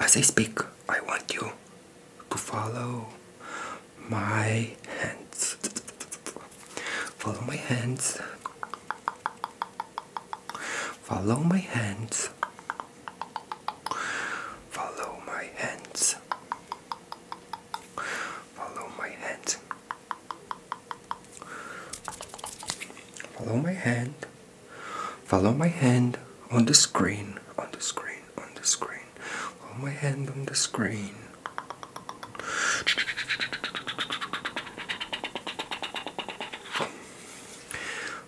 As I speak, I want you to follow my hands. Follow my hands. Follow my hands. Follow my hands. Follow my hand. Follow my hand. Follow my hand on the screen. On the screen. On the screen. Follow my hand on the screen.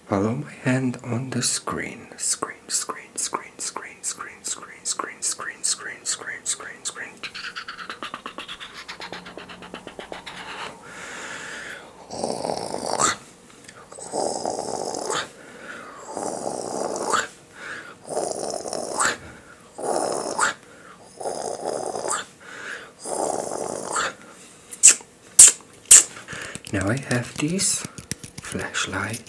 Follow my hand on the screen. Screen, screen, screen, screen screen, screen, screen, screen, screen, screen, screen, screen, screen. Now I have this flashlight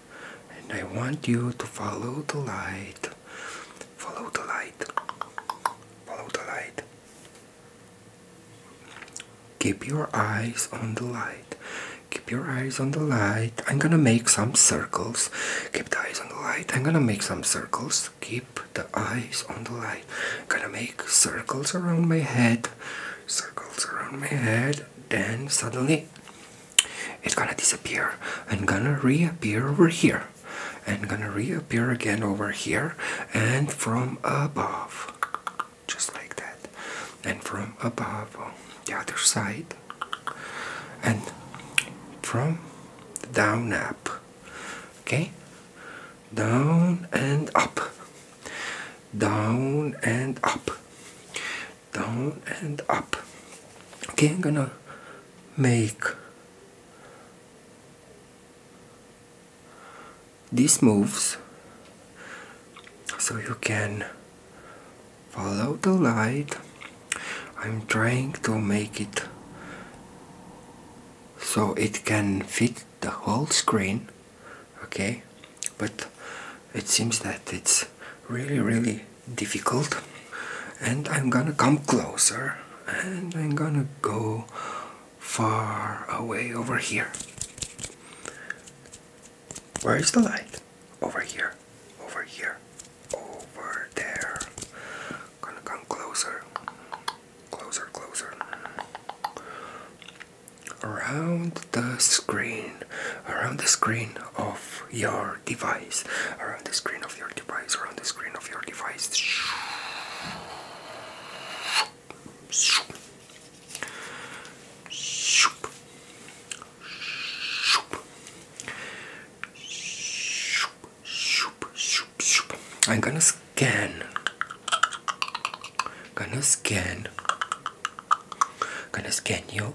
and I want you to follow the light. Follow the light. Follow the light. Keep your eyes on the light. Keep your eyes on the light. I'm gonna make some circles. Keep the eyes on the light. I'm gonna make some circles. Keep the eyes on the light. I'm gonna make circles around my head. Circles around my head. Then suddenly it's gonna disappear and gonna reappear over here and gonna reappear again over here and from above just like that and from above the other side and from down up okay down and up down and up down and up okay I'm gonna make these moves so you can follow the light I'm trying to make it so it can fit the whole screen okay but it seems that it's really really difficult and I'm gonna come closer and I'm gonna go far away over here where is the light over here over here over there gonna come closer closer closer around the screen, around the screen of your device, around the screen of your device, around the screen of your device. I'm gonna scan. Gonna scan. Gonna scan you.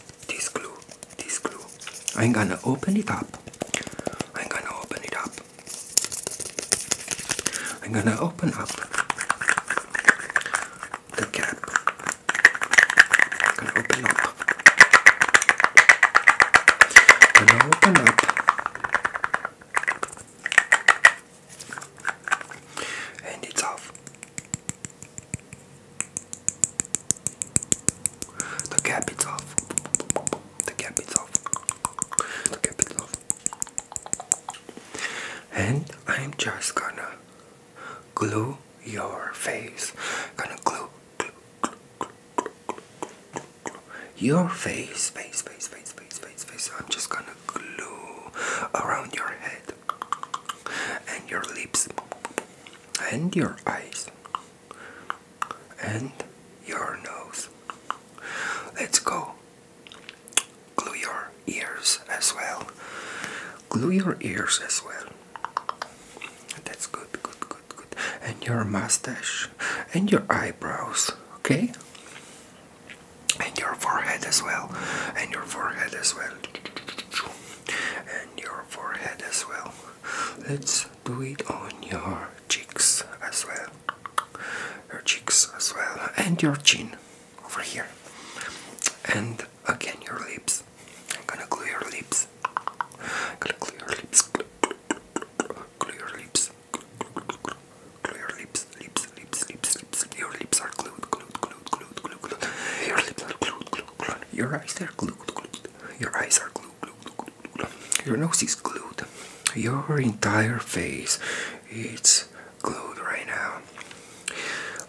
this glue, this glue. I'm gonna open it up. I'm gonna open it up. I'm gonna open up the cap. I'm gonna open up. I'm gonna open up. And it's off. The cap is off. The cap is off. The cap is off. And I'm just gonna glue your face. Gonna glue, glue, glue, glue, glue, glue, glue, glue. your face, face, face, face, face, face, I'm just gonna glue around your head and your lips and your eyes and your nose. Let's go. Glue your ears as well. Glue your ears as well. That's good, good, good, good. And your mustache and your eyebrows, okay? And your forehead as well. And your forehead as well. And your forehead as well let's do it on your cheeks as well. Your cheeks as well, and your chin over here, and again your lips. I'm gonna glue your lips. I'm gonna glue your lips. Glue your lips. Glue your lips. Lips. Lips. Lips. Lips. Your lips are glued. Glued. Glued. Glued. Glued. Glued. Your lips are glued. Glued. Glued. Your eyes are glued. Glued. Your eyes are glued. Your nose is glued. Your entire face it's glued right now.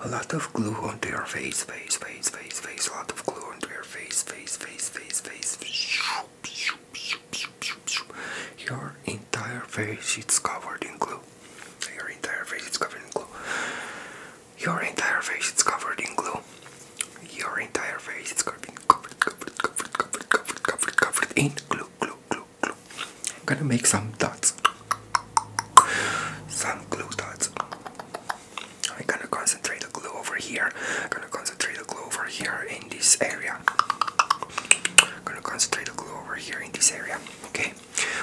A lot of glue onto your face, face, face, face, face, a lot of glue onto your face, face, face, face, face. Your entire face it's covered in glue. Your entire face is covered in glue. Your entire face is covered in glue. Your entire face is covered, covered, covered, covered, covered, covered, covered, in glue, glue, glue, glue. I'm gonna make some dots. Some glue dots. I'm gonna concentrate the glue over here. I'm gonna concentrate the glue over here in this area. I'm gonna concentrate the glue over here in this area. Okay,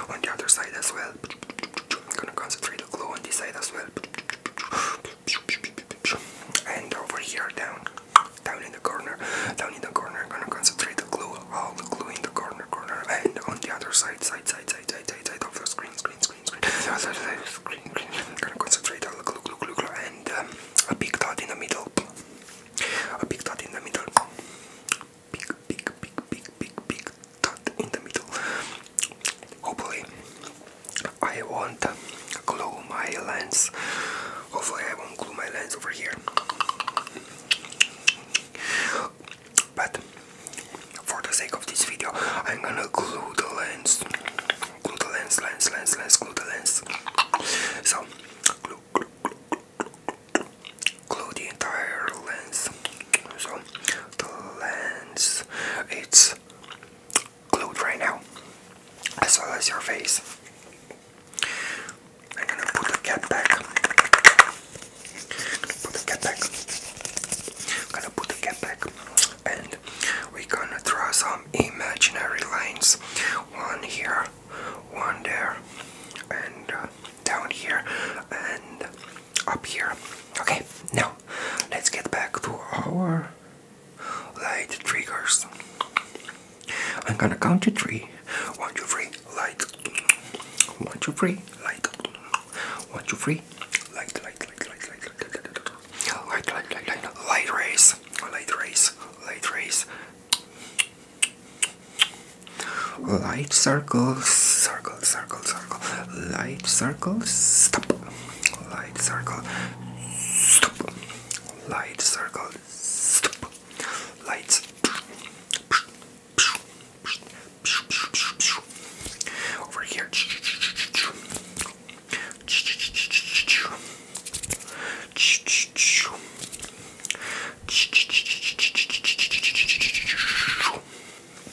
on the other side as well. I'm gonna concentrate the glue on this side as well and over here down down in the corner down in the corner i'm gonna concentrate the glue all the glue in the corner corner and on the other side side side side side side, side of the screen screen screen screen screen screen i'm gonna concentrate all the glue glue glue, glue and um, a big dot in the middle a big dot in the middle big big big big big big dot in the middle Hopefully, I won't glue my lens. Hopefully, I won't glue my lens over here. But for the sake of this video, I'm gonna glue the lens. Glue the lens, lens, lens, lens, glue the lens. So, glue, glue, glue, glue, glue the entire lens. So, the lens, it's glued right now, as well as your face. I'm gonna put the cap back. Put the cap back. gonna put the cap back, and we're gonna draw some imaginary lines. One here, one there, and uh, down here, and up here. Okay, now let's get back to our light triggers. I'm gonna count to three. One, two, three, light. One, two, three, light. One, two, three, light, light, light, light, light, light, light, light, light, light, light rays, light rays, light rays. Light circles, circle, circle, circle, light circles, stop light circle Stop. light circle Stop. light over here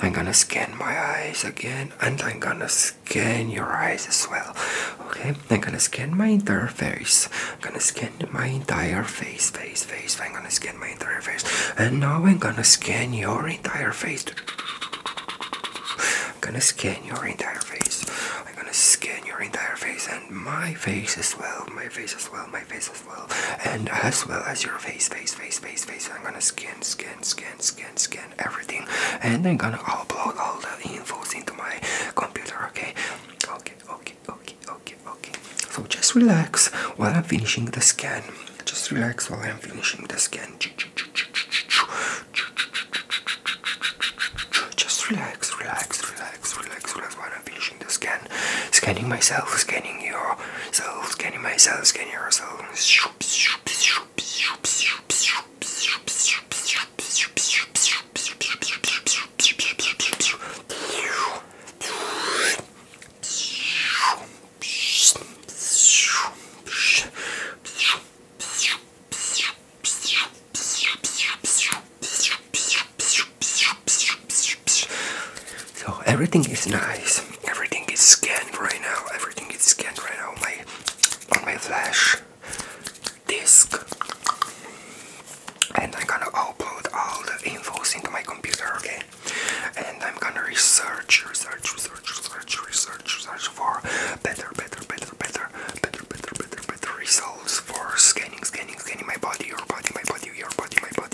I'm gonna scan my eyes again, and I'm gonna scan your eyes as well. Okay, I'm gonna scan my entire face. I'm gonna scan my entire face, face, face. I'm gonna scan my entire face, and now I'm gonna scan your entire face. I'm gonna scan your entire face. I'm gonna scan your entire face and my face as well. My face as well. My face as and as well as your face, face, face, face, face. I'm gonna scan, scan, scan, scan, scan everything. And I'm gonna upload all the infos into my computer, okay? Okay, okay, okay, okay, okay. So just relax while I'm finishing the scan. Just relax while I'm finishing the scan. Just relax, relax, relax, relax, relax while I'm finishing scanning myself, scanning yourself, scanning myself, scanning yourself. So everything is nice. Everything is scanned right now. Everything is scanned right now on my on my flash disk. And I'm gonna upload all the infos into my computer, okay? And I'm gonna research, research, research, research, research, research for better, better, better, better, better, better, better, better results for scanning, scanning, scanning my body, your body, my body, your body, my body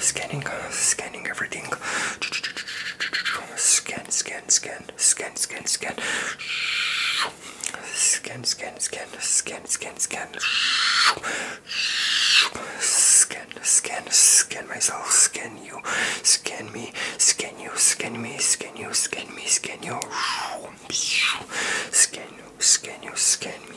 Scanning, scanning everything. Scan, scan, scan, scan, scan, scan. Scan, scan, scan, scan, scan, scan. Scan, scan, scan myself. Scan, scan you, scan me, scan you, scan me, scan you, scan me, scan you, scan you, scan you, scan me,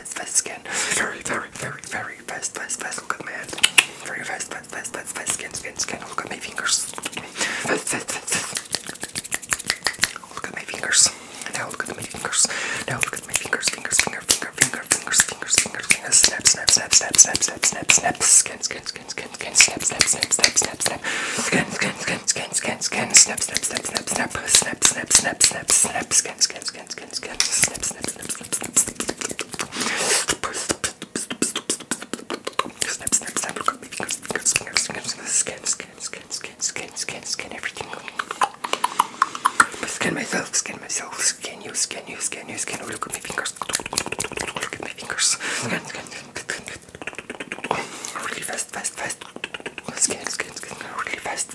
fast, fast skin. Very, very, very, very fast, fast, fast. Look at my hand. Very fast, fast, fast, fast, fast skin, skin, skin. Look at my fingers. Fast, fast, fast, fast. Look at my fingers. Now look at my fingers. Now look at my fingers, fingers, finger, finger, finger, fingers, fingers, fingers, fingers. Snap, snap, snap, snap, snap, snap, snap, snap. Skin, skin, skin, skin, skin. Snap, snap, snap, snap, snap, snap. Skin, skin, skin, skin, skin, skin. Snap, snap, snap, snap, snap. Snap, snap, snap, snap, snap. Skin, skin skin, skin, skin, snip, snip, snip, snip, snip, snip, snip, snip, snip, snip, skin, skin everything. Skin myself, skin myself, skin you, skin you, skin you, skin. Oh, look at my fingers. Look at my fingers. Skin, skin, skin. Really fast, fast, fast. Skin, skin, skin. Really fast.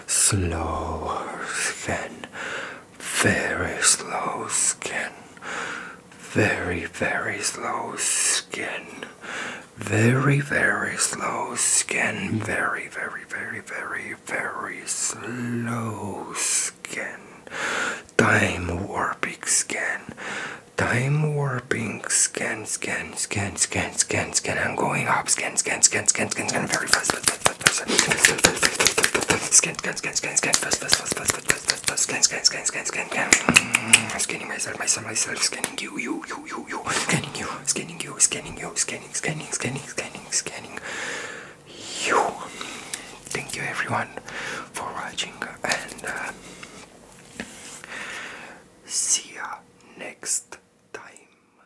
Slow skin, very slow skin, very, very slow skin, very, very slow skin, very, very, very, very, very slow skin, time warping skin. Time warping skin, skin, skin, skin, skin, skin. I'm going up skin, skin, skin, skin, skin, scan very fast Scanning myself, myself, myself, scanning you, you, you, you, you, scanning you, scanning you, scanning you, scanning, scanning, scanning, scanning, you. Thank you everyone for watching and uh, see ya next time.